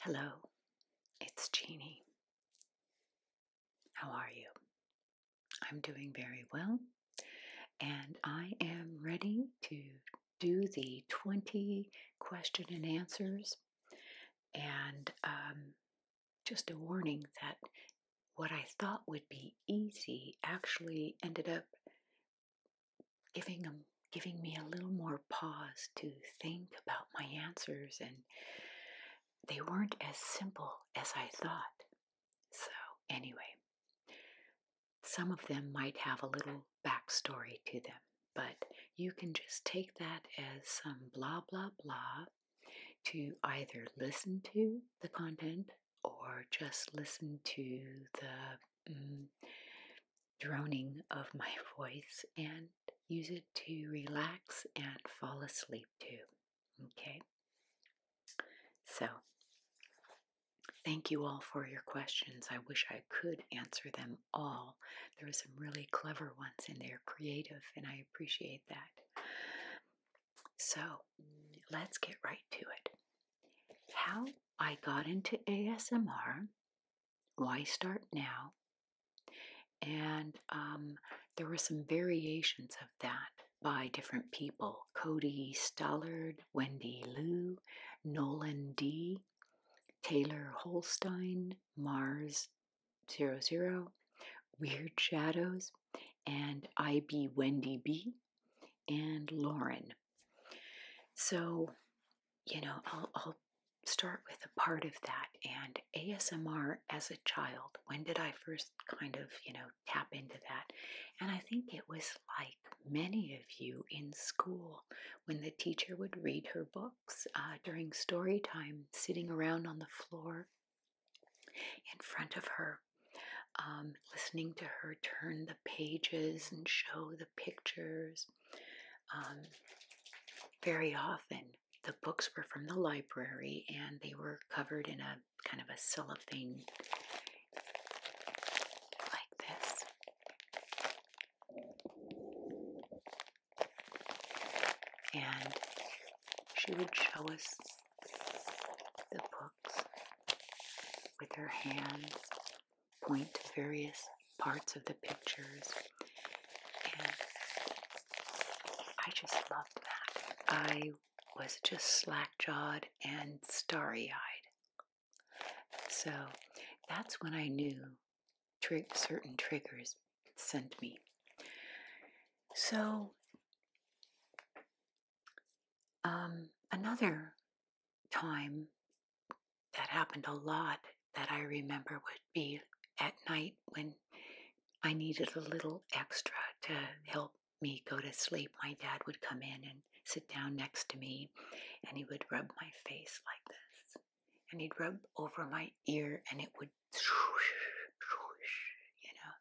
Hello, it's Jeannie. How are you? I'm doing very well, and I am ready to do the 20 question and answers. And um, just a warning that what I thought would be easy actually ended up giving them giving me a little more pause to think about my answers and they weren't as simple as I thought. So anyway, some of them might have a little backstory to them, but you can just take that as some blah blah blah to either listen to the content or just listen to the mm, droning of my voice and use it to relax and fall asleep too. Okay? So, thank you all for your questions. I wish I could answer them all. There were some really clever ones in there, creative, and I appreciate that. So let's get right to it. How I got into ASMR, why start now? And um, there were some variations of that by different people Cody Stollard, Wendy Liu, Nolan D., Taylor Holstein, Mars Zero Zero, Weird Shadows, and I be Wendy B, and Lauren. So, you know, I'll start with a part of that and ASMR as a child. When did I first kind of, you know, tap into that? And I think it was like many of you in school when the teacher would read her book uh, during story time, sitting around on the floor in front of her, um, listening to her turn the pages and show the pictures. Um, very often, the books were from the library and they were covered in a kind of a cellophane like this and she would show us the books with her hands, point to various parts of the pictures, and I just loved that. I was just slack jawed and starry eyed. So that's when I knew certain triggers sent me. So, um, another time that happened a lot that I remember would be at night when I needed a little extra to help me go to sleep. My dad would come in and sit down next to me, and he would rub my face like this and he'd rub over my ear and it would swoosh, swoosh, you know.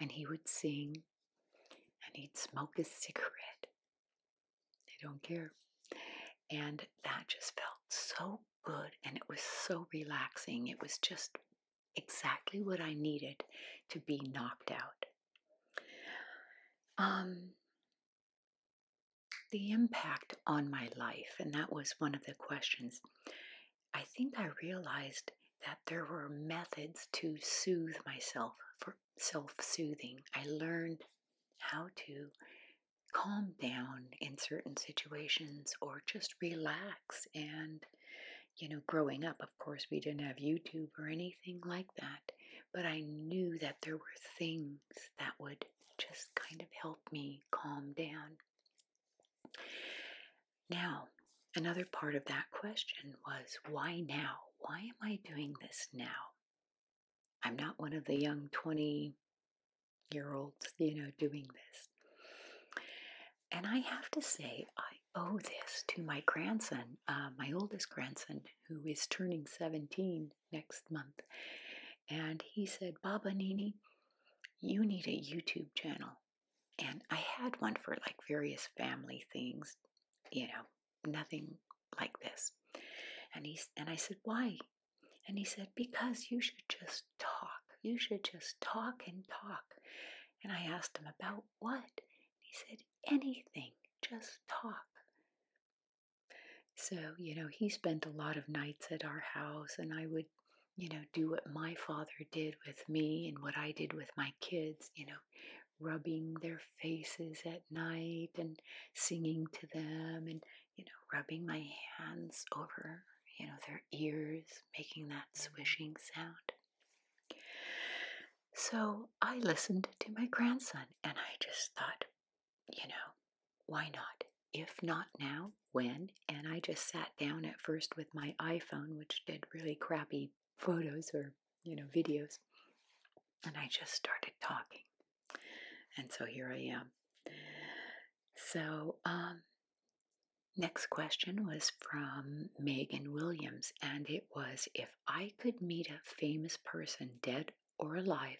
And he would sing and he'd smoke his cigarette. I don't care. And that just felt so good and it was so relaxing. It was just exactly what I needed to be knocked out. Um, the impact on my life, and that was one of the questions. I think I realized that there were methods to soothe myself for self soothing. I learned how to calm down in certain situations or just relax. And, you know, growing up, of course, we didn't have YouTube or anything like that. But I knew that there were things that would just kind of help me calm down. Now, another part of that question was why now? Why am I doing this now? I'm not one of the young 20 year olds, you know, doing this. And I have to say, I owe this to my grandson, uh, my oldest grandson, who is turning 17 next month. And he said, Baba Nini, you need a YouTube channel. And I had one for like various family things, you know, nothing like this. And he and I said, "Why?" And he said, "Because you should just talk. You should just talk and talk." And I asked him about what? he said, "Anything. Just talk." So, you know, he spent a lot of nights at our house and I would you know, do what my father did with me and what I did with my kids, you know, rubbing their faces at night and singing to them and, you know, rubbing my hands over, you know, their ears, making that swishing sound. So I listened to my grandson and I just thought, you know, why not? if not now, when? And I just sat down at first with my iPhone, which did really crappy photos or, you know, videos. And I just started talking. And so here I am. So, um, next question was from Megan Williams, and it was If I could meet a famous person, dead or alive,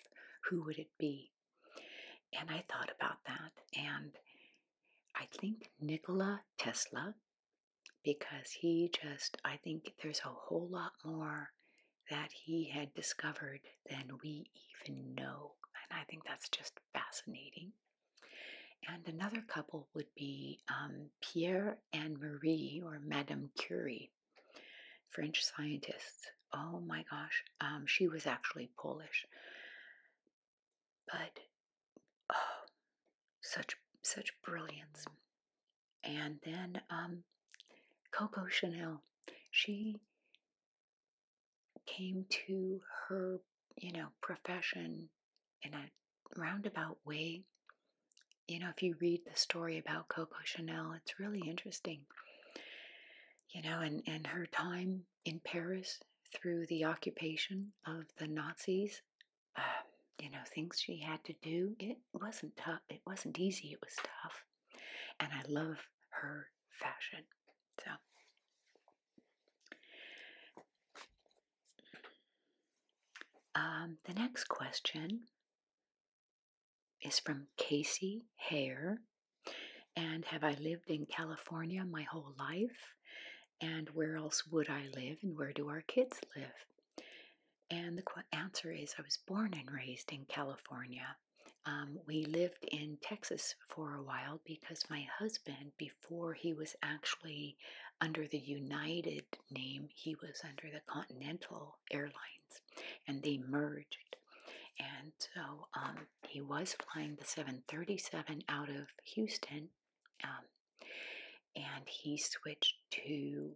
who would it be? And I thought about that, and I think Nikola Tesla, because he just, I think there's a whole lot more that he had discovered than we even know. And I think that's just fascinating. And another couple would be um, Pierre and Marie, or Madame Curie, French scientists. Oh my gosh, um, she was actually Polish but oh, such such brilliance. And then um, Coco Chanel, she came to her, you know, profession in a roundabout way. You know, if you read the story about Coco Chanel, it's really interesting. You know, and, and her time in, Paris through the occupation of the Nazis. Um, you know, things she had to do. It wasn't tough. It wasn't easy. It was tough. And I love her fashion. So. Um, the next question is from Casey Hare. And have I lived in California my whole life? And where else would I live? And where do our kids live? And the answer is I was born and raised in California. Um, we lived in Texas for a while because my husband, before he was actually under the United name, he was under the Continental Airlines and they merged. And so um, he was flying the 737 out of Houston, um, and he switched to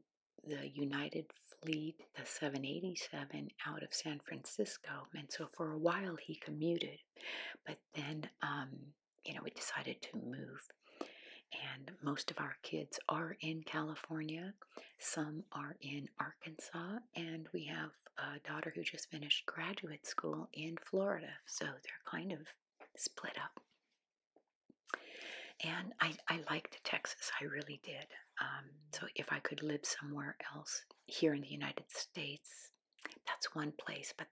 the United Fleet, the 787 out of San Francisco. And so for a while he commuted, but then, um, you know, we decided to move. And most of our kids are in California, some are in Arkansas, and we have a daughter who just finished graduate school in Florida, so they're kind of split up. And I, liked Texas, I really did. Um, so if I could live somewhere else here in the United States, that's one place, but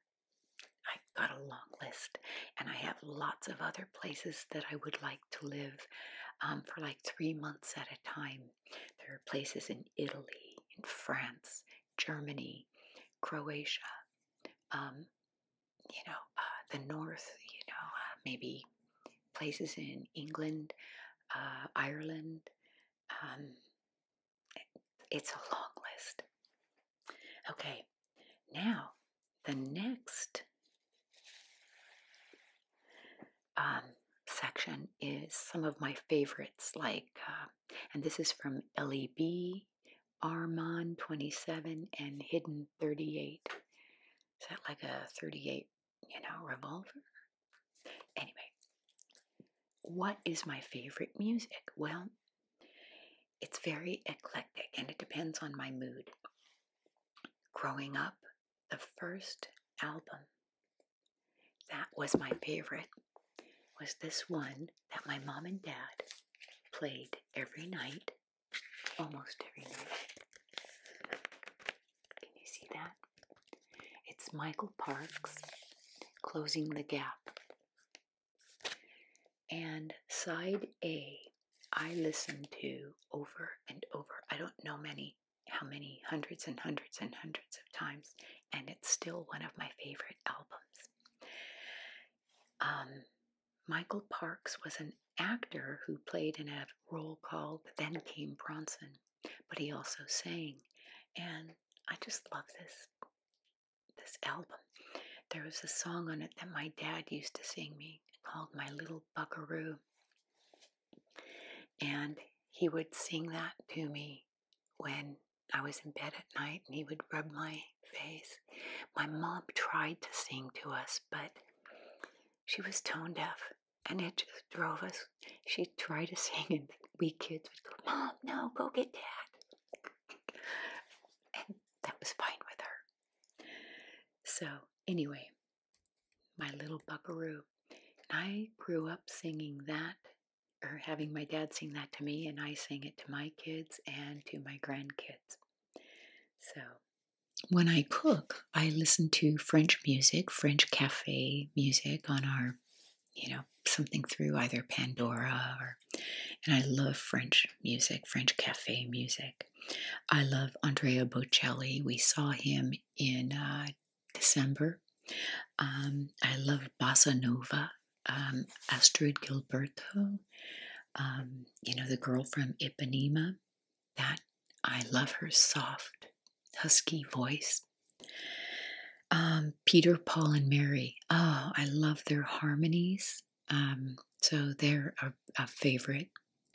I've got a long list, and I have lots of other places that I would like to live um, for like three months at a time. There are places in Italy, in France, Germany, Croatia, um, you know, uh, the north, you know, uh, maybe places in England, uh, Ireland. Um, it's a long list. Okay, now the next um, section is some of my favorites, like and this is from LEB, Armand 27, and Hidden 38. Is that like a 38, you know, revolver? Anyway, what is my favorite music? Well, it's very eclectic and it depends on my mood. Growing up, the first album that was my favorite. Was this one that my mom and dad played every night, almost every night. Can you see that? It's Michael Parks closing the gap. And side A, I listened to over and over. I don't know many, how many, hundreds and hundreds and hundreds of times and it's still one of my favorite albums. Um, Michael Parks was an actor who played in a role called Then Came Bronson, but he also sang, and I just love this this album. There was a song on it that my dad used to sing me called My Little Buckaroo. And he would sing that to me when I was in bed at night and he would rub my face. My mom tried to sing to us, but she was tone deaf and it just drove us. She'd try to sing and we kids would go, Mom, no, go get dad. and that was fine with her. So, anyway, my little buckaroo. I grew up singing that or having my dad sing that to me, and I sing it to my kids and to my grandkids. So, when I cook, I listen to French music, French cafe music on our, you know, something through either Pandora or, and I love French music, French cafe music. I love Andrea Bocelli. We saw him in uh, December. Um, I love bossa nova um, Astrid Gilberto, um, you know, the girl from Ipanema. That I love her soft, husky voice. Um, Peter, Paul, and Mary. Oh, I love their harmonies. Um, so they're a, favorite.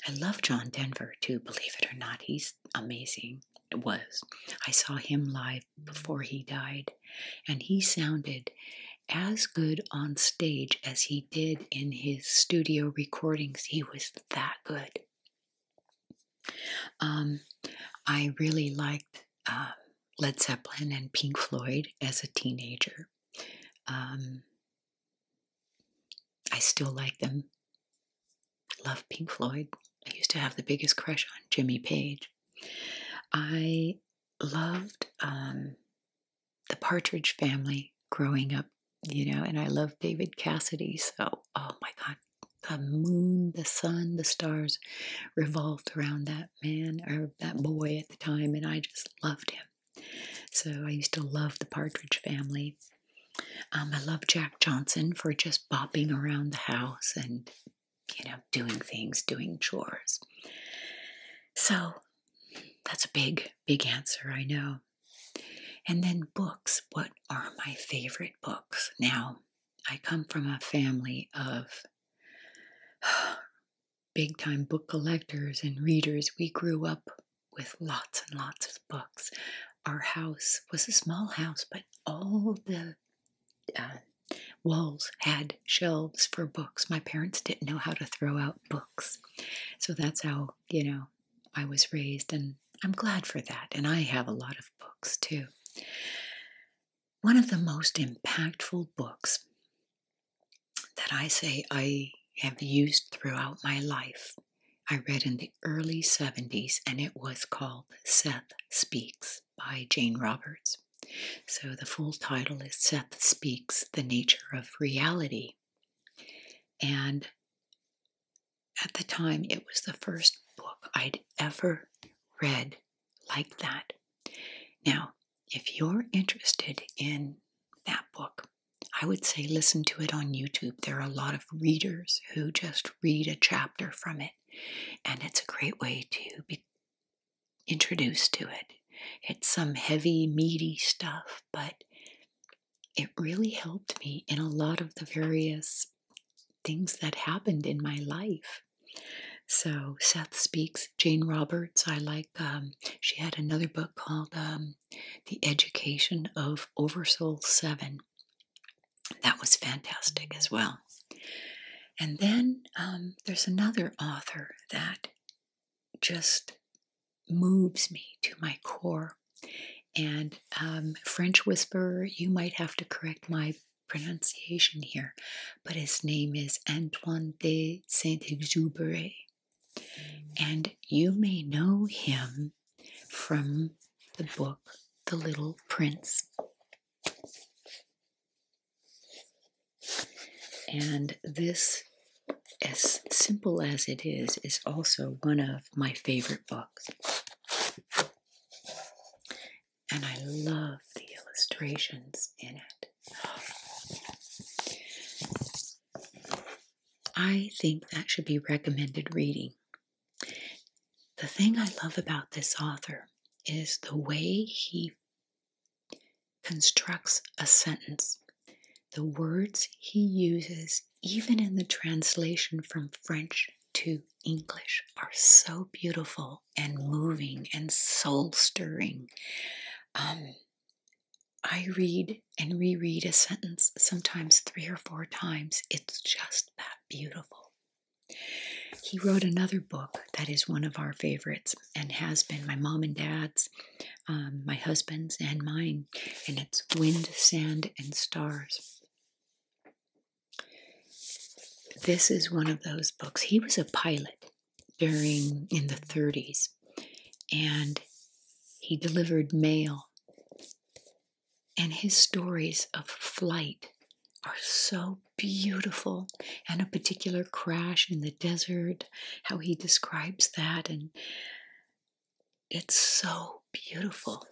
I love John Denver too, believe it or not. He's amazing. It was. I saw him live before he died, and he sounded as good on stage as he did in his studio recordings. He was that good. Um, I really liked uh, Led Zeppelin and Pink Floyd as a teenager. Um, I still like them. Love Pink Floyd. I used to have the biggest crush on Jimmy Page. I loved um, the Partridge Family growing up, you know, and I loved David Cassidy. So, oh my God, the moon, the sun, the stars revolved around that man or that boy at the time, and I just loved him. So I used to love the Partridge Family. Um, I love Jack Johnson for just bopping around the house and you know, doing things, doing chores. So that's a big, big answer, I know. And then books. What are my favorite books? Now, I come from a family of big time book collectors and readers. We grew up with lots and lots of books. Our house was a small house, but all the uh, walls had shelves for books. My parents didn't know how to throw out books. So that's how, you know, I was raised, and I'm glad for that. And I have a lot of books too. One of the most impactful books that I say I have used throughout my life, I read in the early 70s, and it was called Seth Speaks by Jane Roberts. So the full title is Seth Speaks The Nature of Reality. And at the time, it was the first book I'd ever read like that. Now, if you're interested in that book, I would say listen to it on YouTube. There are a lot of readers who just read a chapter from it, and it's a great way to be, introduced to it. It's some heavy, meaty stuff, but it really helped me in a lot of the various things that happened in my life. So Seth speaks. Jane Roberts, I like. Um, she had another book called um, "The Education of Oversoul Seven. That was fantastic as well. And then um, there's another author that just moves me to my core. And um, French Whisperer, you might have to correct my pronunciation here, but his name is Antoine de Saint Exupéry. And you may know him from the book The Little Prince. And this, as simple as it is, is also one of my favorite books. And I love the illustrations in it. I think that should be recommended reading. The thing I love about this author is the way he constructs a sentence, the words he uses, even in the translation from French to English, are so beautiful and moving and soul stirring. Um, I read and reread a sentence sometimes three or four times. It's just that beautiful. He wrote another book that is one of our favorites and has been my mom and dad's, um, my husband's, and mine, and it's Wind, Sand, and Stars. This is one of those books. He was a pilot during in the 30s, and he delivered mail. And his stories of flight are so beautiful, and a particular crash in the desert, how he describes that. And it's so beautiful.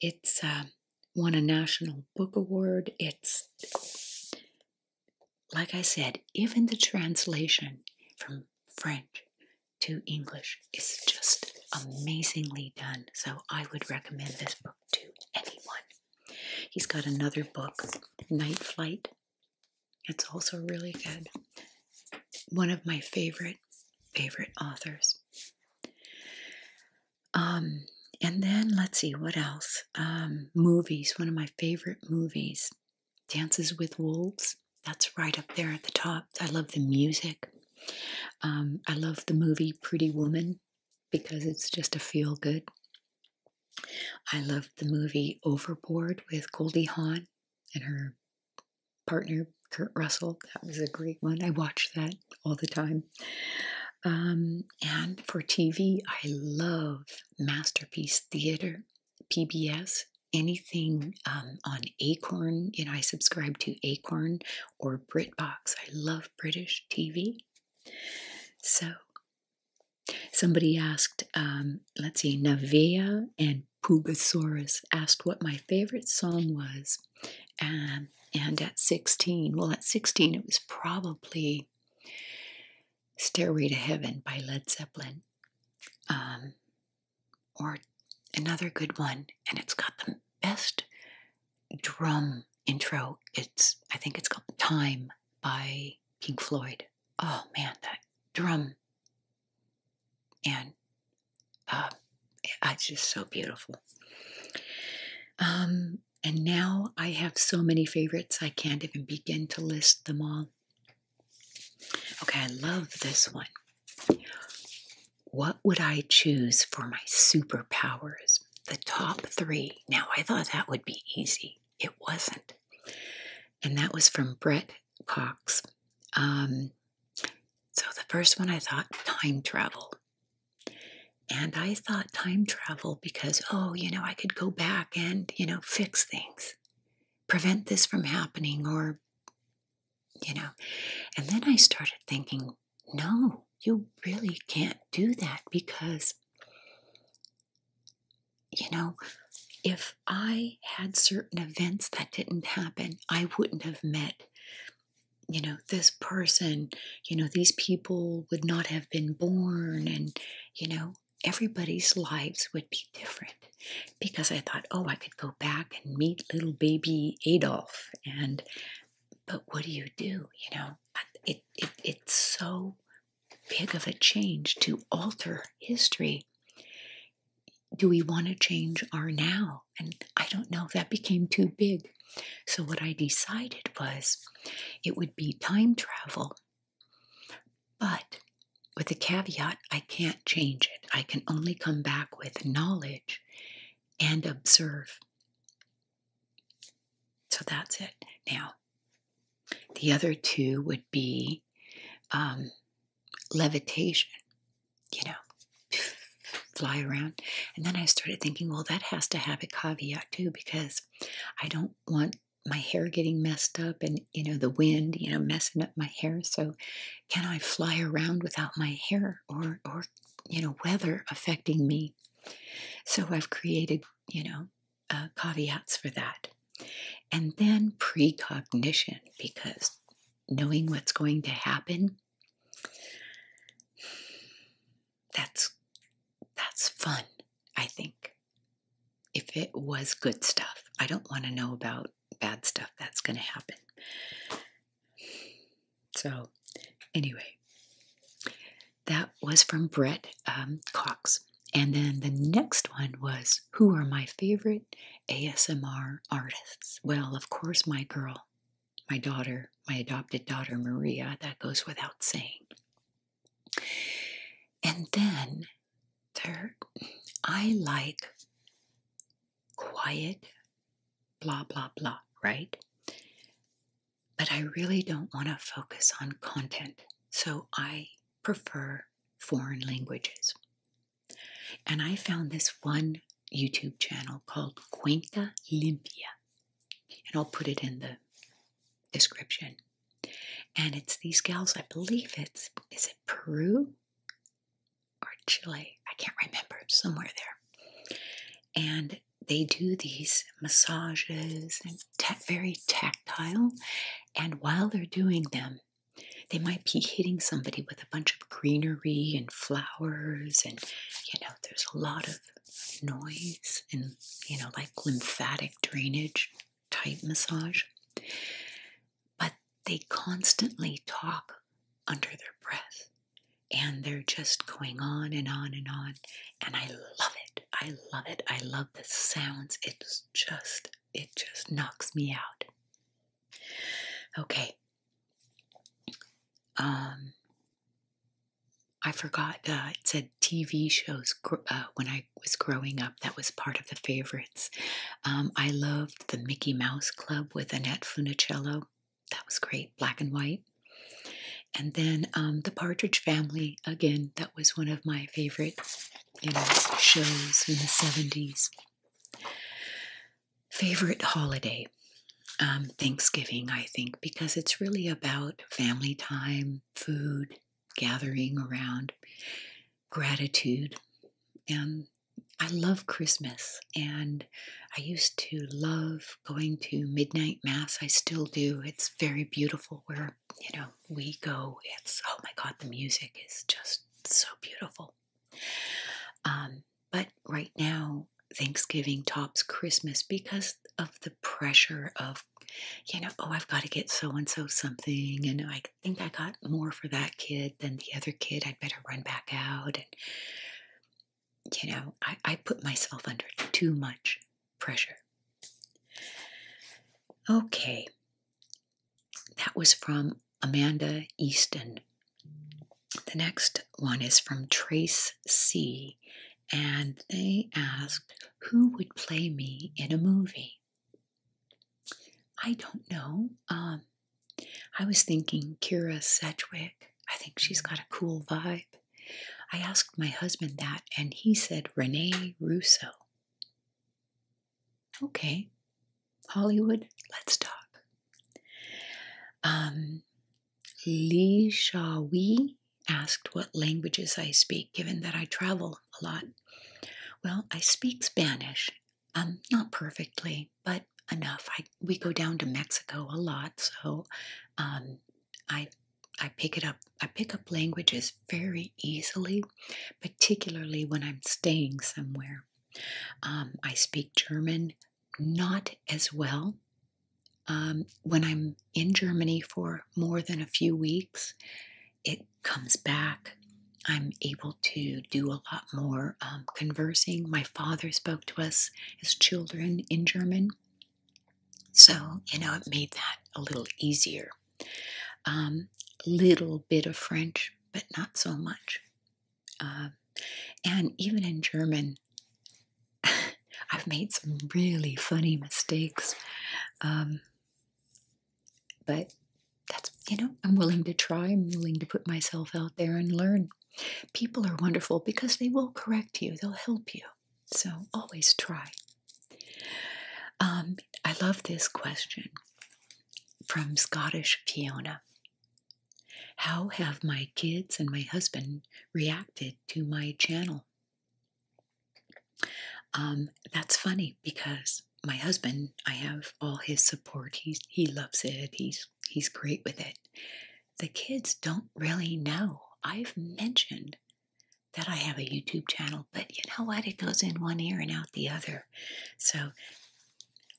It's um, won a National Book Award. It's, like I said, even the translation from French to English is just amazingly done. So I would recommend this book to anyone. He's got another book, Night Flight. It's also really good. One of my favorite, favorite authors. Um, and then let's see what else. Um, movies, one of my favorite movies, Dances with Wolves. That's right up there at the top. I love the music. Um, I love the movie Pretty Woman because it's just a feel good. I love the movie Overboard with Goldie Hawn and her partner Kurt Russell. That was a great one. I watch that all the time. Um, and for TV, I love Masterpiece Theater, PBS, anything um, on Acorn. You know, I subscribe to Acorn or BritBox. I love British TV. So, somebody asked, um, let's see, Navia and Pugasaurus asked what my favorite song was. Um, and at 16, well, at 16, it was probably Stairway to Heaven by Led Zeppelin. Um, or another good one, and it's got the best drum intro. It's I think it's called Time by Pink Floyd. Oh man, that drum and uh, it's just so beautiful. Um, and now I have so many favorites I can't even begin to list them all. Okay, I love this one. What would I choose for my superpowers? the top three. Now, I thought that would be easy. It wasn't. And that was from Brett Cox. Um, so the first one I thought time travel. And I thought time travel because, oh, you know, I could go back and, you know, fix things, prevent this from happening, or, you know. And then I started thinking, no, you really can't do that because, you know, if I had certain events that didn't happen, I wouldn't have met, you know, this person, you know, these people would not have been born, and, you know, everybody's lives would be different because I thought, oh, I could go back and meet little baby Adolf. And, but what do you do, you know? it, it's so big of a change to alter history. Do we want to change our now? And I don't know, that became too big. So, what I decided was it would be time travel, but with the caveat I can't change it. I can only come back with knowledge and observe. So that's it. Now, the other two would be um, levitation, you know, fly around. And then I started thinking, well, that has to have a caveat too, because I don't want my hair getting messed up and, you know, the wind, you know, messing up my hair. So can I fly around without my hair or, or, you know, weather affecting me? So I've created, you know, uh, caveats for that. And then precognition, because knowing what's going to happen, that's that's fun, I think. If it was good stuff. I don't want to know about bad stuff that's going to happen. So, anyway, that was from Brett um, Cox. And then the next one was Who are my favorite ASMR artists? Well, of course, my girl, my daughter, my adopted daughter, Maria. That goes without saying. And then there, I like quiet, blah, blah, blah, right? but I really don't want to focus on content, so I prefer foreign languages. And I found this one YouTube channel called Cuenca Limpia, and I'll put it in the description. And it's these gals, I believe it's, is it Peru or Chile? I can't remember, somewhere there. And they do these massages and very tactile. And while they're doing them, they might be hitting somebody with a bunch of greenery and flowers, and you know, there's a lot of noise and you know, like lymphatic drainage type massage. But they constantly talk under their breath, and they're just going on and on and on, and I love it. I love it. I love the sounds. It's just, it just knocks me out. Okay. Um, I forgot. Uh, it said TV shows uh, when I was growing up. That was part of the favorites. Um, I loved the Mickey Mouse Club with Annette Funicello. That was great. Black and white. And then um, the Partridge Family again. That was one of my favorite, you know, shows in the seventies. Favorite holiday, um, Thanksgiving, I think, because it's really about family time, food, gathering around, gratitude, and I love Christmas and I used to love going to midnight mass. I still do. It's very beautiful where you know we go it's oh my god the music is just so beautiful um, but right now thanksgiving tops christmas because of the pressure of you know oh i've got to get so and so something and i think i got more for that kid than the other kid i'd better run back out and you know i, I put myself under too much pressure. Okay, that was from Amanda Easton. The next one is from Trace C, and they asked, Who would play me in a movie? I don't know. Um, I was thinking Kira Sedgwick. I think she's got a cool vibe. I asked my husband that, and he said Renee Russo. Okay, Hollywood, let's talk. Um, Li Shawi asked what languages I speak, given that I travel a lot. Well, I speak Spanish, um, not perfectly, but enough. I we go down to Mexico a lot, so um, I I pick it up. I pick up languages very easily, particularly when I'm staying somewhere. Um, I speak German not as well. Um, when I'm in Germany for more than a few weeks, it comes back. I'm able to do a lot more um, conversing. My father spoke to us as children in German. So, you know, it made that a little easier. Um, little bit of French, but not so much. Um, and even in German, I've made some really funny mistakes. Um, but that's, you know, I'm willing to try, I'm willing to put myself out there and learn. People are wonderful because they will correct you, they'll help you. So always try. Um, I love this question from Scottish Fiona. How have my kids and my husband reacted to my channel? Um, that's funny because my husband, I have all his support. He's, he loves it. He's, he's great with it. The kids don't really know. I've mentioned that I have a YouTube channel, but you know what? It goes in one ear and out the other. So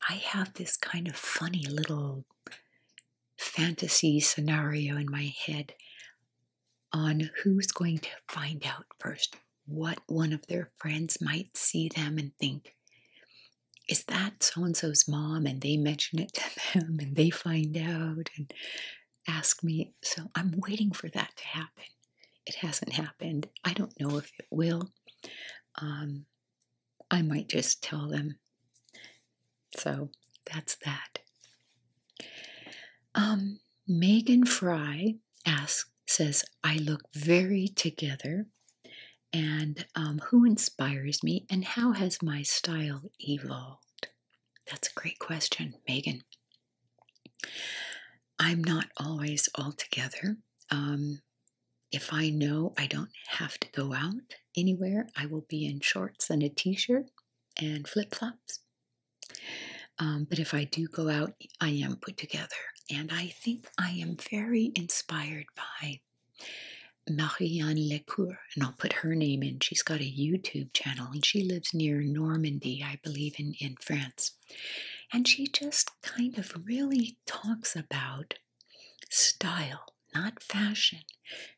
I have this kind of funny little fantasy scenario in my head on who's going to find out first what one of their friends might see them and think, is that so and so's mom? And they mention it to them and they find out. And ask me. So I'm waiting for that to happen. It hasn't happened. I don't know if it will. Um, I might just tell them. So that's that. Um, Megan Fry asks, says, I look very together. And um, who inspires me, and how has my style evolved? That's a great question, Megan. I'm not always all together. Um, if I know I don't have to go out anywhere, I will be in shorts and a t shirt and flip flops. Um, but if I do go out, I am put together. And I think I am very inspired by Marianne Lecour and I'll put her name in. She's got a YouTube channel and she lives near Normandy, I believe, in, in France. And she just kind of really talks about style, not fashion,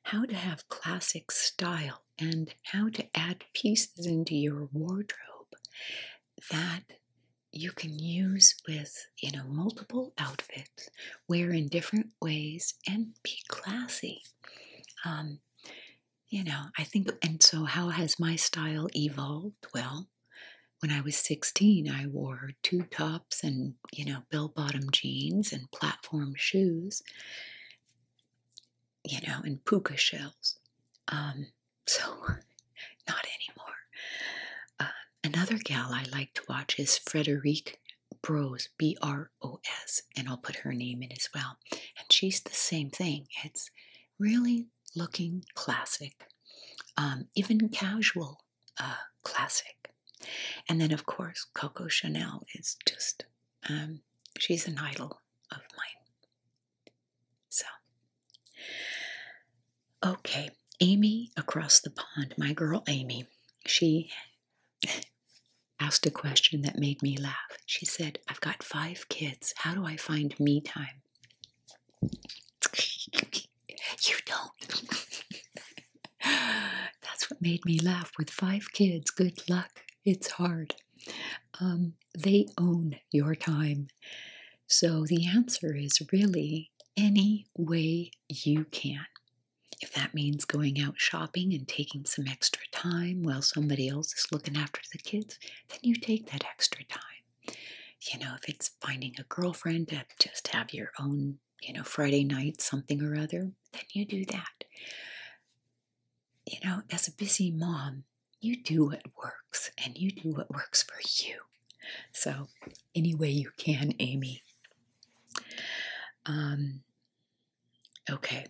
how to have classic style and how to add pieces into your wardrobe that you can use with you know multiple outfits wear in different ways and be classy um, you know, I think, and so how has my style evolved? Well, when I was 16, I wore two tops and, you know, bell bottom jeans and platform shoes, you know, and puka shells. Um, so, not anymore. Uh, another gal I like to watch is Frederique Bros, B R O S and I'll put her name in as well. And she's the same thing. It's really looking classic, um, even casual uh, classic. And then, of course, Coco Chanel is just, um, she's an idol of mine. So, okay, Amy across the pond, my girl Amy, she asked a question that made me laugh. She said, I've got five kids. How do I find me time? you don't. That's what made me laugh. With five kids, good luck. It's hard. Um, they own your time. So the answer is really any way you can. If that means going out shopping and taking some extra time while somebody else is looking after the kids, then you take that extra time. You know, if it's finding a girlfriend to just have your own, you know, Friday night, something or other, then you do that. You know, as a busy mom, you do what works and you do what works for you. So, any way you can, Amy. Um, Okay,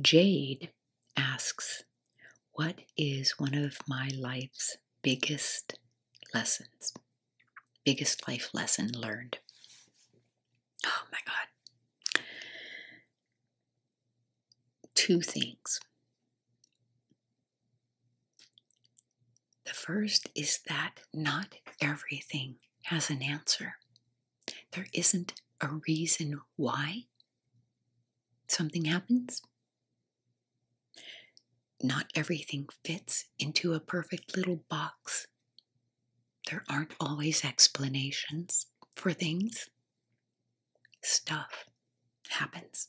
Jade asks, What is one of my life's biggest lessons? Biggest life lesson learned? Oh my God. Two things. The first is that not everything has an answer there isn't a reason why something happens. Not everything fits into a perfect little box. There aren't always explanations for things. Stuff happens.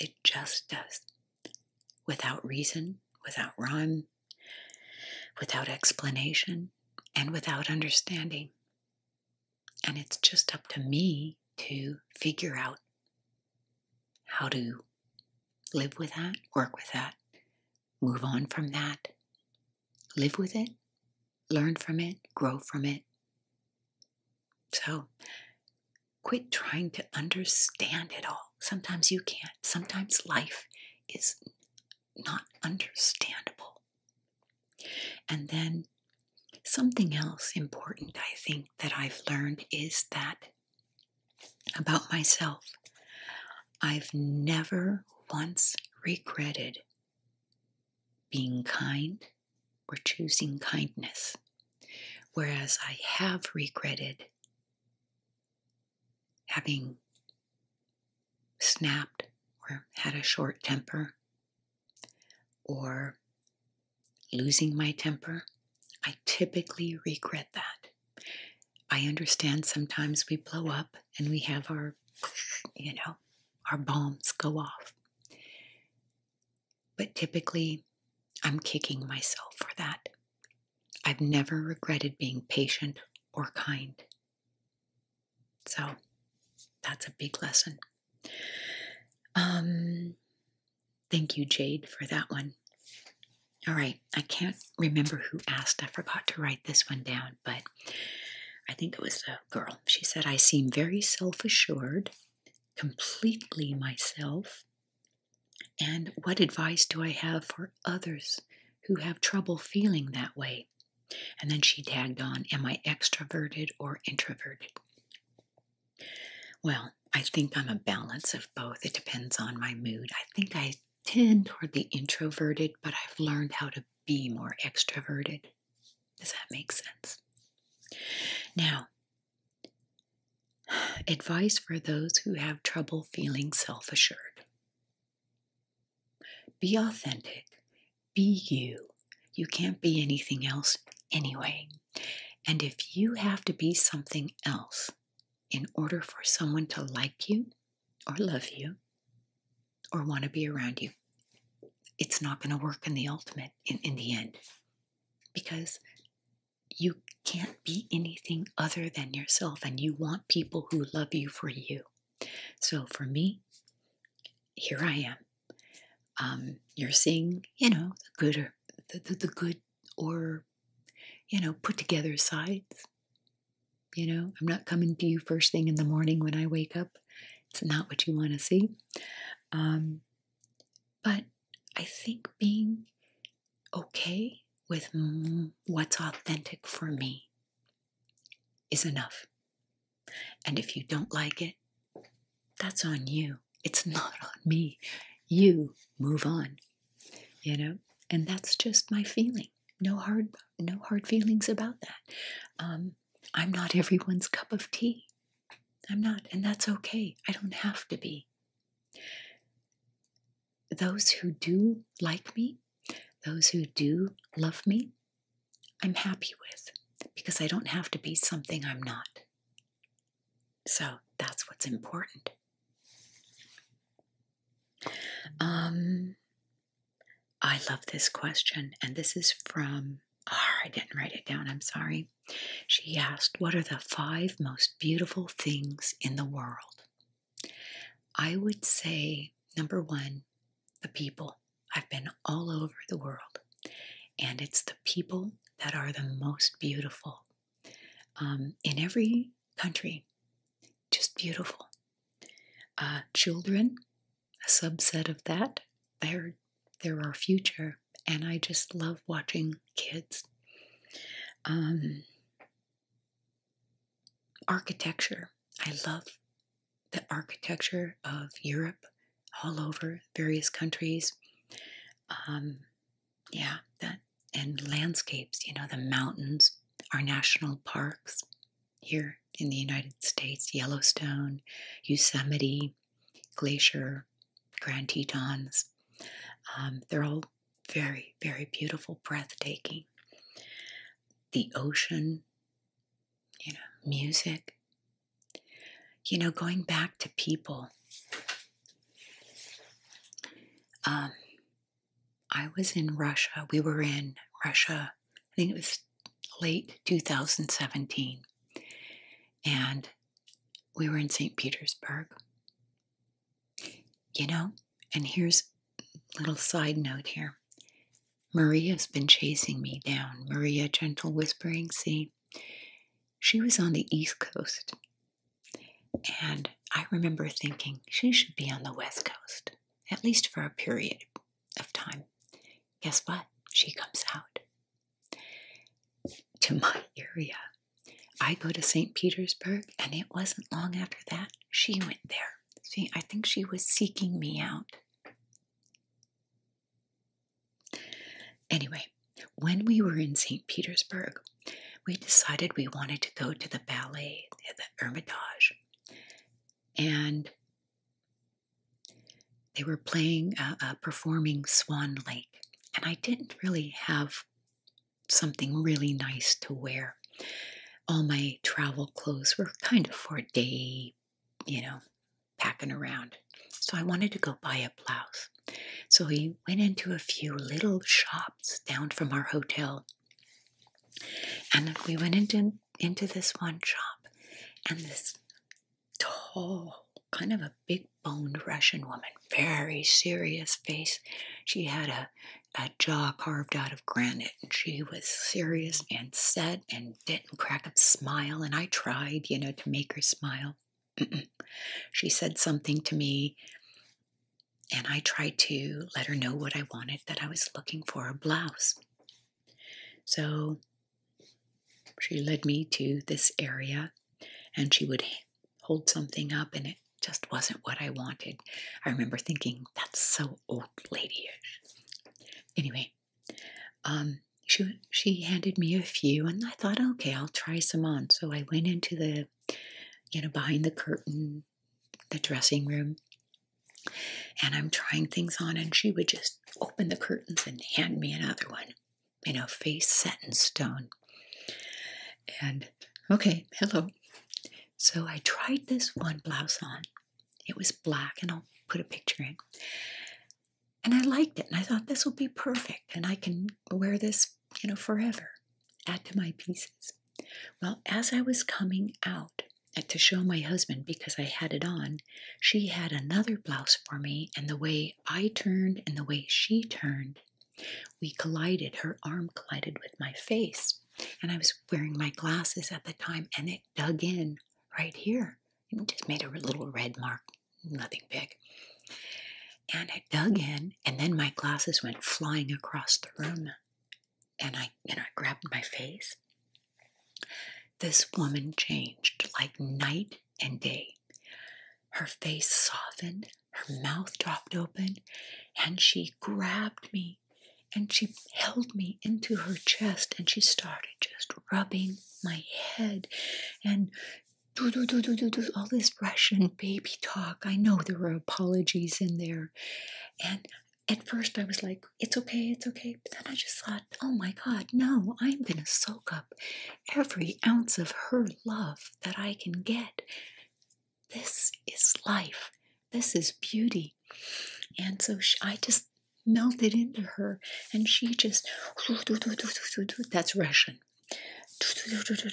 It just does. Without reason, without rhyme, without explanation, and without understanding. And it's just up to me to figure out how to live with that, work with that, move on from that, live with it, learn from it, grow from it. So quit trying to understand it all. Sometimes you can't. Sometimes life is not understandable. And then something else important I think that I've learned is that about myself, I've never once regretted being kind or choosing kindness, whereas I have regretted having snapped or had a short temper or losing my temper, I typically regret that. I understand sometimes we blow up and we have our, you know, our bombs go off. But typically, I'm kicking myself for that. I've never regretted being patient or kind. So that's a big lesson. Um, thank you, Jade, for that one. All right, I can't remember who asked. I forgot to write this one down, but I think it was a girl. She said, I seem very self assured, completely myself. And what advice do I have for others who have trouble feeling that way? And then she tagged on, Am I extroverted or introverted? Well, I think I'm a balance of both. It depends on my mood. I think I tend toward the introverted, but I've learned how to be more extroverted. Does that make sense? Now, advice for those who have trouble feeling self assured. Be authentic. Be you. You can't be anything else anyway. And if you have to be something else in order for someone to like you or love you or want to be around you, it's not going to work in the ultimate, in, the end, because you can't be anything other than yourself and you want people who love you for you. So for me, here I am. Um, you're seeing, you know, the good or the, the, good or, you know, put together sides. You know, I'm not coming to you first thing in the morning when I wake up. It's not what you want to see. Um, but I think being okay with what's authentic for me is enough. And if you don't like it, that's on you. It's not on me. You move on. You know, and that's just my feeling. No hard, no hard feelings about that. Um, I'm not everyone's cup of tea. I'm not, and that's okay. I don't have to be. Those who do like me, those who do love me, I'm happy with because I don't have to be something I'm not. So that's what's important. Um, I love this question, and this is from. Oh, I didn't write it down. I'm sorry. She asked, "What are the five most beautiful things in the world?" I would say number one the people. I've been all over the world, and it's the people that are the most beautiful. Um, in every country, just beautiful. Uh, children, a subset of that, they're, they're our future, and I just love watching kids. Um, architecture. I love the architecture of Europe, all over various countries. Um, yeah, and landscapes. You know, the mountains, our national parks here in the United States: Yellowstone, Yosemite, Glacier, Grand Tetons. Um, they're all very, very beautiful, breathtaking. The ocean, you know, music, you know, going back to people. Um, I was in Russia. We were in Russia, I think it was late 2017. And we were in St. Petersburg. You know, and here's little side note here. Maria's been chasing me down. Maria, gentle whispering, see? She was on the East Coast. And I remember thinking she should be on the West Coast, at least for a period of time. Guess what? She comes out. To my area. I go to St. Petersburg, and it wasn't long after that she went there. See, I think she was seeking me out. Anyway, when we were in St. Petersburg, we decided we wanted to go to the ballet at the Hermitage. And they were playing, a performing Swan Lake. And I didn't really have something really nice to wear. All my travel clothes were kind of for day you know, packing around. So I wanted to go buy a blouse. So we went into a few little shops down from our hotel. And we went into, into this one shop, and this tall, kind of a big boned Russian woman, very serious face. She had a, a jaw carved out of granite, and she was serious and set and didn't crack a smile, and I tried, you know, to make her smile. She said something to me, and I tried to let her know what I wanted that I was looking for a blouse. So she led me to this area, and she would hold something up, and it just wasn't what I wanted. I remember thinking, that's so old ladyish. Anyway, um, she she handed me a few, and I thought, okay, I'll try some on. So I went into the, you know, behind the curtain, the dressing room, and I'm trying things on, and she would just open the curtains and hand me another one, you know, face set in stone. And okay, hello. So I tried this one blouse on, it was black, and I'll put a picture in. And I liked it, and I thought this will be perfect, and I can wear this, you know, forever. Add to my pieces. Well, as I was coming out uh, to show my husband because I had it on, she had another blouse for me, and the way I turned and the way she turned, we collided. Her arm collided with my face, and I was wearing my glasses at the time, and it dug in right here. And just made a little red mark, nothing big. And I dug in, and then my glasses went flying across the room. And I, and I grabbed my face. This woman changed like night and day. Her face softened, her mouth dropped open, and she grabbed me and she held me into her chest and she started just rubbing my head and do do do do do do all this Russian baby talk. I know there were apologies in there. And at first I was like, it's okay, it's okay. But then I just thought, oh my God, no, I'm gonna soak up every ounce of her love that I can get. This is life. This is beauty. And so I just melted into her, and she just that's Russian.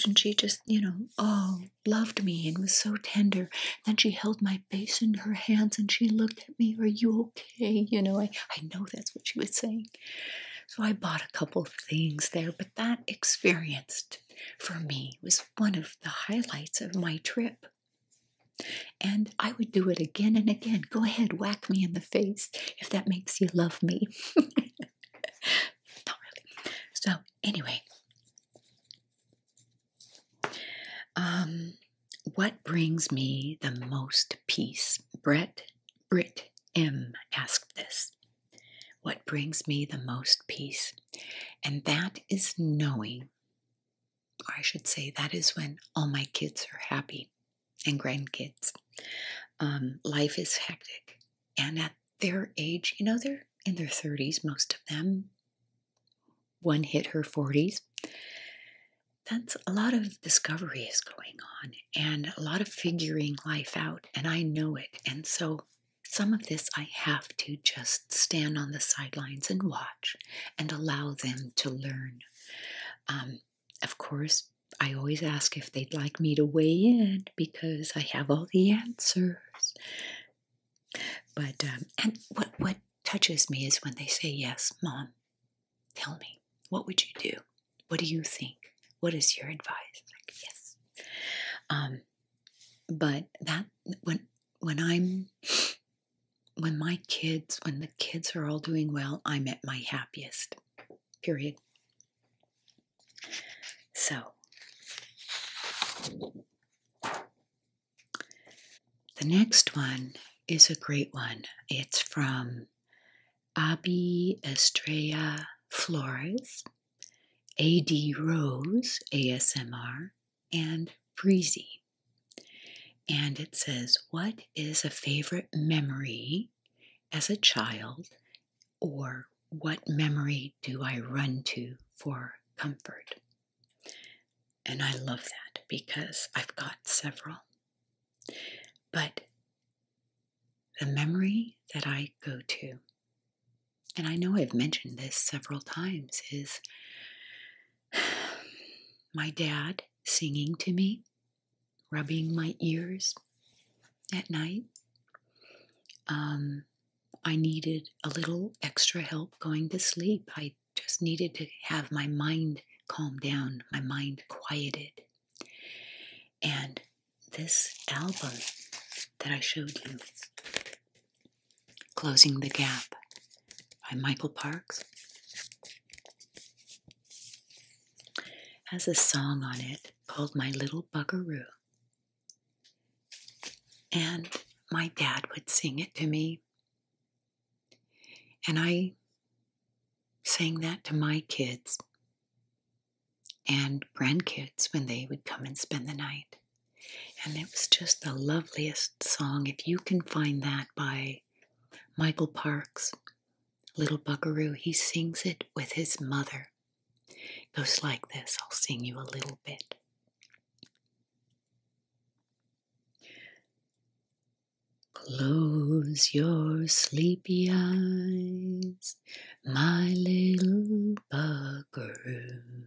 And she just, you know, oh, loved me and was so tender. Then she held my face in her hands and she looked at me, Are you okay? You know, I, I know that's what she was saying. So I bought a couple things there, but that experience for me was one of the highlights of my trip. And I would do it again and again. Go ahead, whack me in the face if that makes you love me. Not really. So, anyway, um, what brings me the most peace? Brett, Britt M asked this. What brings me the most peace? And that is knowing I should say, that is when all my kids are happy and grandkids. Um, life is hectic. And at their age, you know, they're in their 30s, most of them. One hit her 40s. That's a lot of discovery is going on and a lot of figuring life out, and I know it. And so some of this I have to just stand on the sidelines and watch and allow them to learn um, of course, I always ask if they'd like me to weigh in because I have all the answers. But um, and what what touches me is when they say, "Yes, mom, tell me, what would you do? What do you think? What is your advice?" Like, yes. Um, but that when when I'm when my kids, when the kids are all doing well, I'm at my happiest. Period. So, the next one is a great one. It's from Abby Estrella Flores, AD Rose ASMR, and breezy. And it says, What is a favorite memory as a child, or what memory do I run to for comfort? And I love that because I've got several. But the memory that I go to, and I know I've mentioned this several times, is my dad singing to me, rubbing my ears at night. Um, I needed a little extra help going to sleep. I just needed to have my mind calmed down, my mind quieted. And this album that I showed you, Closing the Gap, by Michael Parks has a song on it called My Little Buckaroo. And my dad would sing it to me. And I sang that to my kids and grandkids when they would come and spend the night. And it was just the loveliest song. If you can find that by Michael Parks. Little Buckaroo, he sings it with his mother. goes like this I'll sing you a little bit. Close your sleepy eyes, my little buckaroo.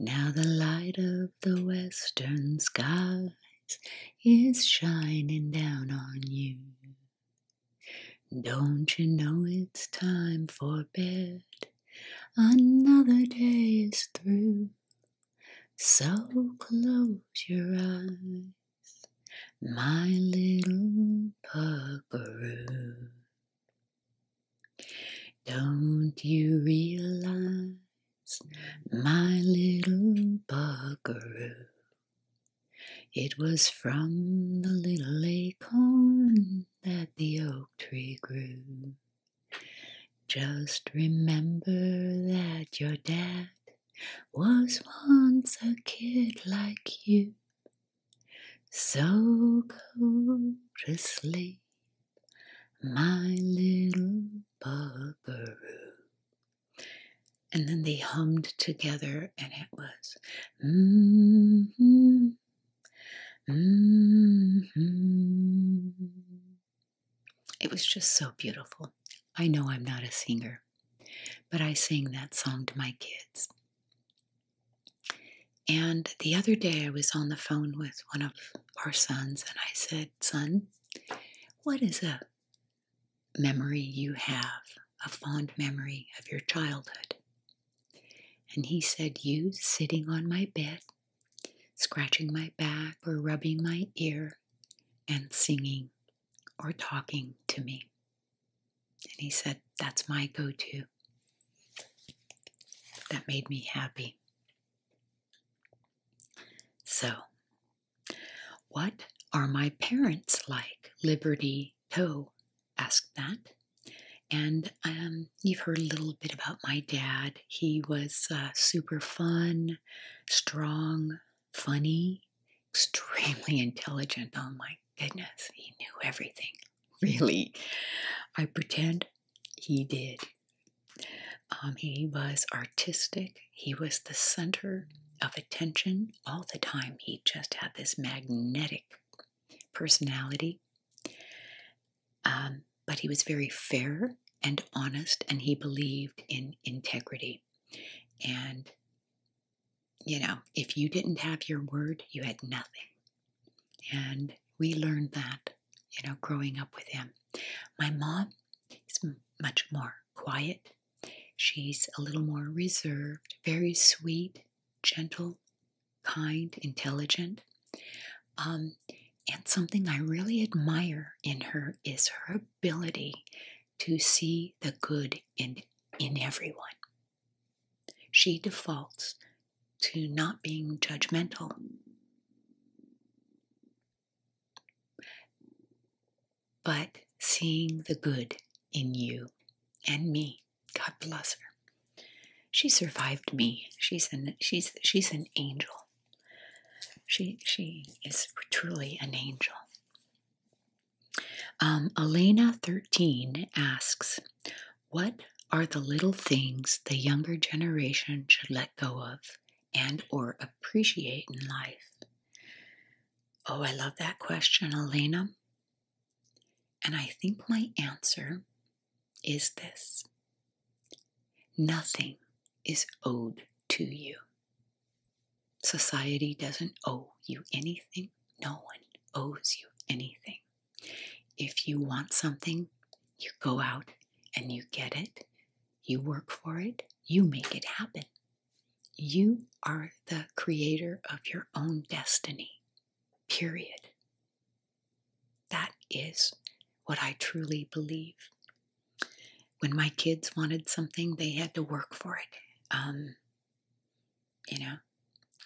Now the light of the western sky is shining down on you. Don't you know it's time for bed? Another day is through. So close your eyes, my little buckaroo. Don't you realize my little buggeroo, It was from the little acorn that the oak tree grew. Just remember that your dad was once a kid like you. So go to sleep my little buckaroo. And then they hummed together, and it was, mm-hmm, mm-hmm. It was just so beautiful. I know I'm not a singer, but I sang that song to my kids. And the other day, I was on the phone with one of our sons, and I said, Son, what is a memory you have, a fond memory of your childhood? And he said, You sitting on my bed, scratching my back or rubbing my ear, and singing or talking to me. And he said, That's my go to. That made me happy. So, what are my parents like? Liberty Toe asked that. And um, you've heard a little bit about my dad. He was uh, super fun, strong, funny, extremely intelligent. Oh my goodness, he knew everything. Really. I pretend he did. Um, he was artistic, he was the center of attention all the time. He just had this magnetic personality. Um, but he was very fair and honest, and he believed in integrity. And, you know, if you didn't have your word, you had nothing. And we learned that you know, growing up with him. My mom is much more quiet. She's a little more reserved, very sweet, gentle, kind, intelligent. Um, and something I really admire in her is her ability to see the good in, in everyone. She defaults to not being judgmental but seeing the good in you and me. God bless her. She survived me. She's an she's she's an angel. She she is truly an angel. Um, Elena thirteen asks, "What are the little things the younger generation should let go of and or appreciate in life? Oh, I love that question, Elena. And I think my answer is this. Nothing is owed to you. Society doesn't owe you anything. No one owes you anything. If you want something, you go out and you get it you work for it, you make it happen. You are the creator of your own destiny, period. That is what I truly believe. When my kids wanted something, they had to work for it. Um, you know,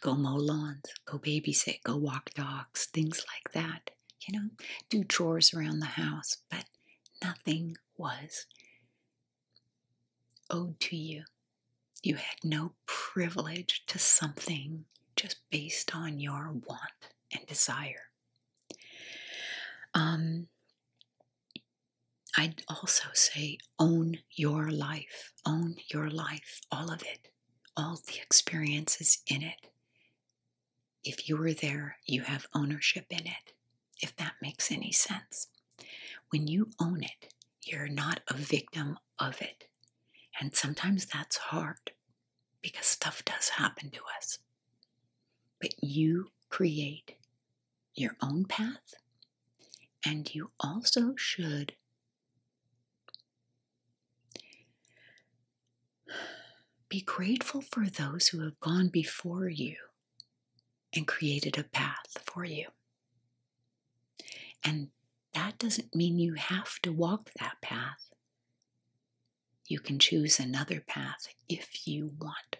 go mow lawns, go babysit, go walk dogs, things like that you know, do chores around the house, but nothing was owed to you. You had no privilege to something just based on your want and desire. Um, I'd also say own your life, own your life, all of it, all the experiences in it. If you were there, you have ownership in it, if that makes any sense. When you own it, you're not a victim of it. And sometimes that's hard because stuff does happen to us. But you create your own path, and you also should be grateful for those who have gone before you and created a path for you. And that doesn't mean you have to walk that path. You can choose another path if you want.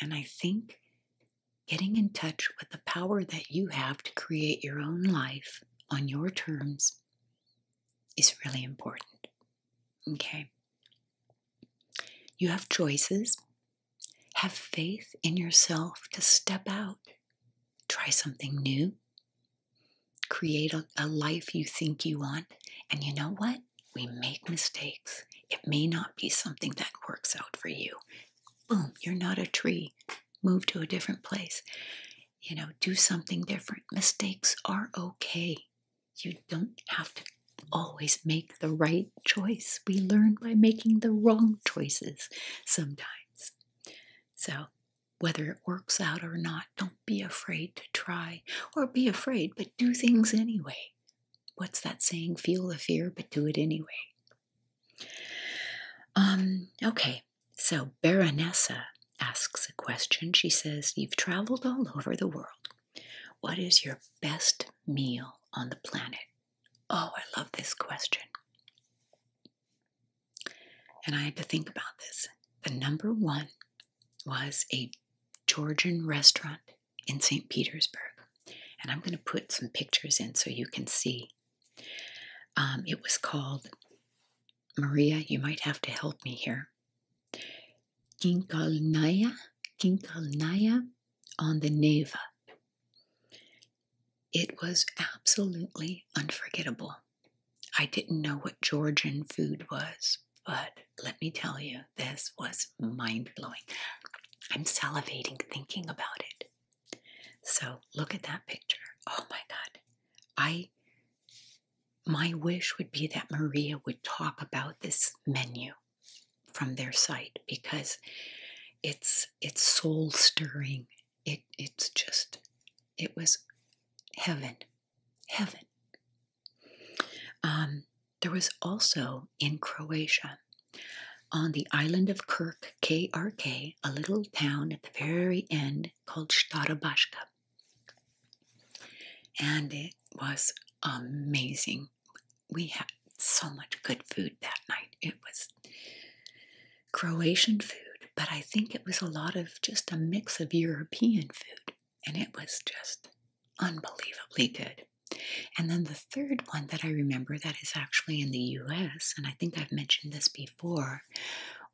And I think getting in touch with the power that you have to create your own life on your terms is really important. Okay. You have choices. Have faith in yourself to step out, try something new, create a, life you think you want. And you know what? We make mistakes. It may not be something that works out for you. Boom, you're not a tree. Move to a different place. You know, do something different. Mistakes are okay. You don't have to always make the right choice. We learn by making the wrong choices sometimes. So, whether it works out or not, don't be afraid to try or be afraid, but do things anyway. What's that saying? Feel the fear, but do it anyway. Um, okay, so Baronessa asks a question. She says, You've traveled all over the world. What is your best meal on the planet? Oh, I love this question. And I had to think about this. The number one was a Georgian restaurant in St. Petersburg. And I'm going to put some pictures in so you can see. Um, it was called Maria, you might have to help me here. Kinkalnaya, Kinkalnaya on the Neva. It was absolutely unforgettable. I didn't know what Georgian food was, but let me tell you, this was mind blowing. I'm salivating thinking about it. So look at that picture. Oh my God. I my wish would be that Maria would talk about this menu from their site because it's it's soul stirring. It it's just it was heaven, heaven. Um, there was also in Croatia, on the island of Kirk, K R K, a little town at the very end called Stara Baska. And it was amazing. We had so much good food that night. It was Croatian food, but I think it was a lot of just a mix of European food. And it was just unbelievably good. And then the third one that I remember that is actually in the US, and I think I've mentioned this before,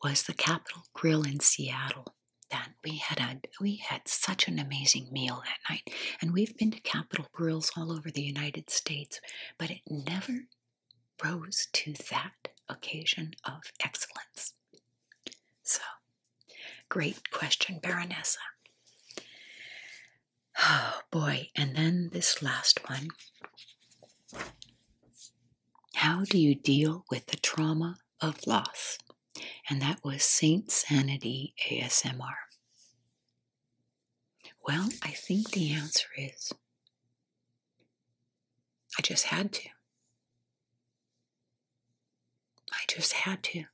was the Capitol Grill in Seattle. Dan, we had a we had such an amazing meal that night, and we've been to capital grills all over the United States, but it never rose to that occasion of excellence. So, great question, Baronessa. Oh boy, and then this last one. How do you deal with the trauma of loss? and that was Saint Sanity ASMR. Well, I think the answer is I just had to. I just had to.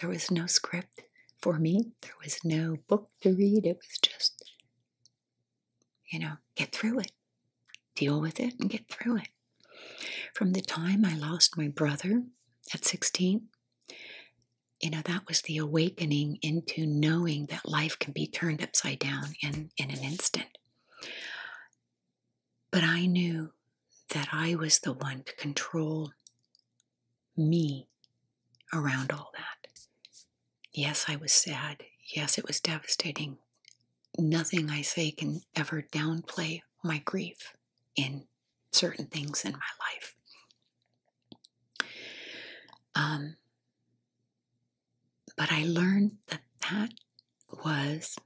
There was no script for me, there was no book to read. It was just, you know, get through it, deal with it, and get through it. From the time I lost my brother at 16, you know, that was the awakening into knowing that life can be turned upside down in, in an instant. But I knew that I was the one to control me around all that. Yes, I was sad. Yes, it was devastating. Nothing I say can ever downplay my grief in certain things in my life. Um, but I learned that that was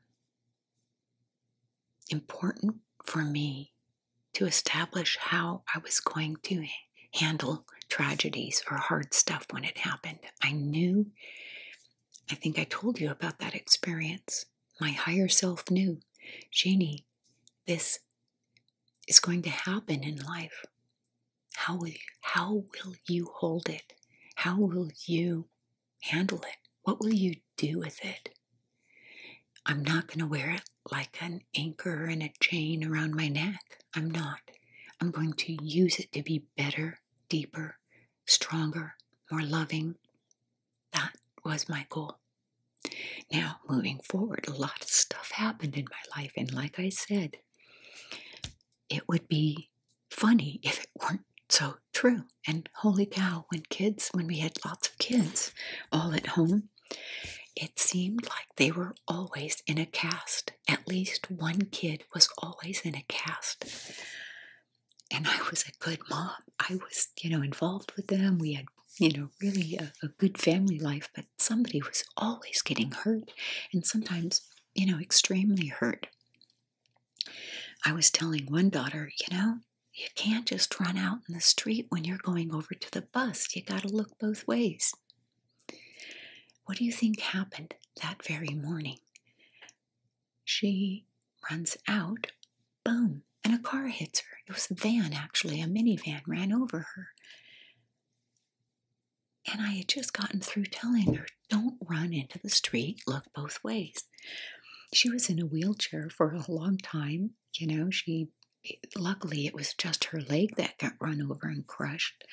important for me to establish how I was going to handle tragedies or hard stuff when it happened. I knew, I think I told you about that experience. My higher self knew, Janie, this is going to happen in life. How will you, how will you hold it? How will you handle it? What will you do with it? I'm not going to wear it like an anchor and a chain around my neck. I'm not. I'm going to use it to be better, deeper, stronger, more loving, that was my goal. Now, moving forward, a lot of stuff happened in my life, and like I said, it would be funny if it weren't so true. And holy cow, when kids, when we had lots of kids all at home, it seemed like they were always in a cast. At least one kid was always in a cast and I was a good mom. I was, you know, involved with them. We had, you know, really a, good family life, but somebody was always getting hurt and sometimes, you know, extremely hurt. I was telling one daughter, you know, you can't just run out in the street when you're going over to the bus. You got to look both ways. What do you think happened that very morning? she runs out, boom, and a car hits her. It was a van, actually, a minivan ran over her. And I had just gotten through telling her, don't run into the street, look both ways. She was in a wheelchair for a long time. You know, she, luckily, it was just her leg that got run over and crushed.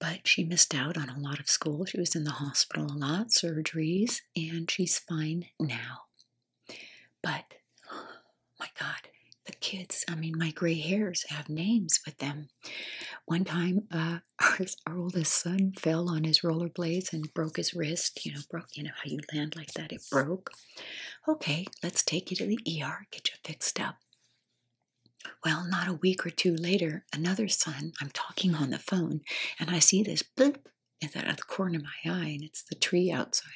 But she missed out on a lot of school. She was in the hospital a lot, surgeries, and she's fine now. But oh my God, the kids, I mean, my gray hairs have names with them. One time, uh, our, our oldest son fell on his rollerblades and broke his wrist. You know, broke, you know how you land like that, it broke. Okay, let's take you to the ER, get you fixed up. Well, not a week or two later, another son, I'm talking on the phone, and I see this bloop, is out of the corner of my eye, and it's the tree outside.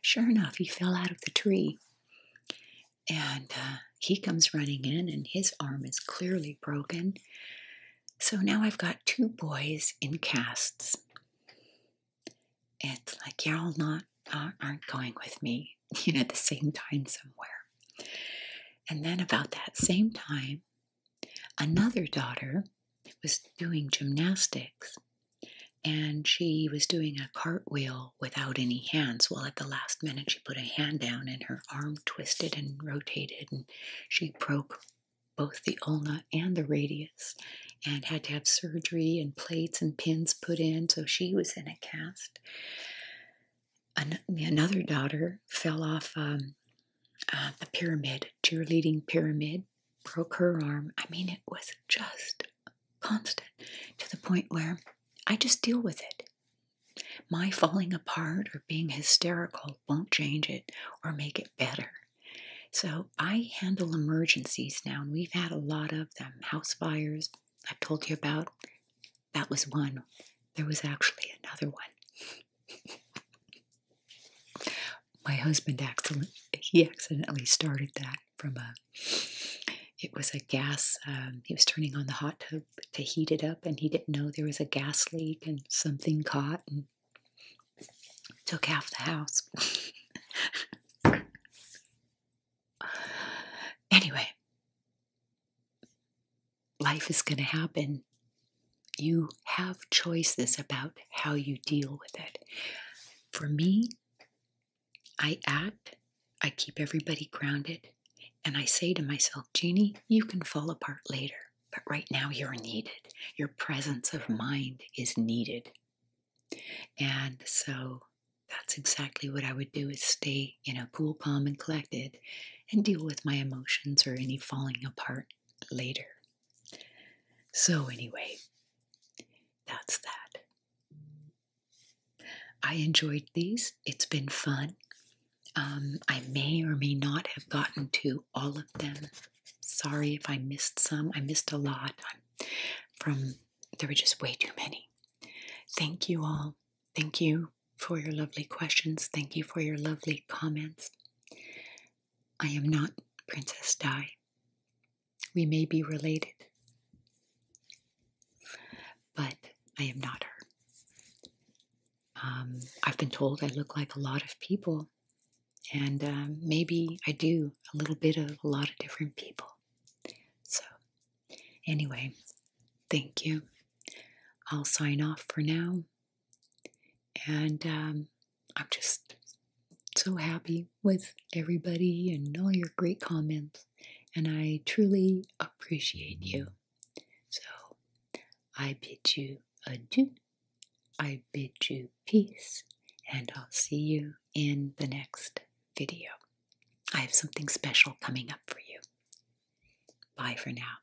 Sure enough, he fell out of the tree. And uh, he comes running in, and his arm is clearly broken. So now I've got two boys in casts. It's like y'all not aren't going with me, you know, at the same time somewhere. And then about that same time, Another daughter was doing gymnastics and she was doing a cartwheel without any hands. Well, at the last minute, she put a hand down and her arm twisted and rotated, and she broke both the ulna and the radius and had to have surgery and plates and pins put in. So she was in a cast. another daughter fell off um, uh, a uh, the pyramid, cheerleading pyramid, broke her arm. I mean, it was just constant to the point where I just deal with it. My falling apart or being hysterical won't change it or make it better. So I handle emergencies now, and we've had a lot of them. House fires, I've told you about. That was one. There was actually another one my husband accident, he accidentally started that from a it was a gas um, he was turning on the hot tub to heat it up and he didn't know there was a gas leak and something caught and took half the house anyway life is going to happen you have choices about how you deal with it. For me, I act, I keep everybody grounded, and I say to myself, Jeannie, you can fall apart later, but right now you're needed. Your presence of mind is needed. And so that's exactly what I would do is stay, you know, cool, calm, and collected and deal with my emotions or any falling apart later. So, anyway, that's that. I enjoyed these, it's been fun. Um, I may or may not have gotten to all of them. Sorry if I missed some. I missed a lot. from there were just way too many. Thank you all. Thank you for your lovely questions. Thank you for your lovely comments. I am not Princess Di. We may be related, but I am not her. Um, I've been told I look like a lot of people, and uh, maybe I do a little bit of a lot of different people. So, anyway, thank you. I'll sign off for now. And um, I'm just so happy with everybody and all your great comments. And I truly appreciate you. So I bid you adieu. I bid you peace. And I'll see you in the next video. I have something special coming up for you. Bye for now.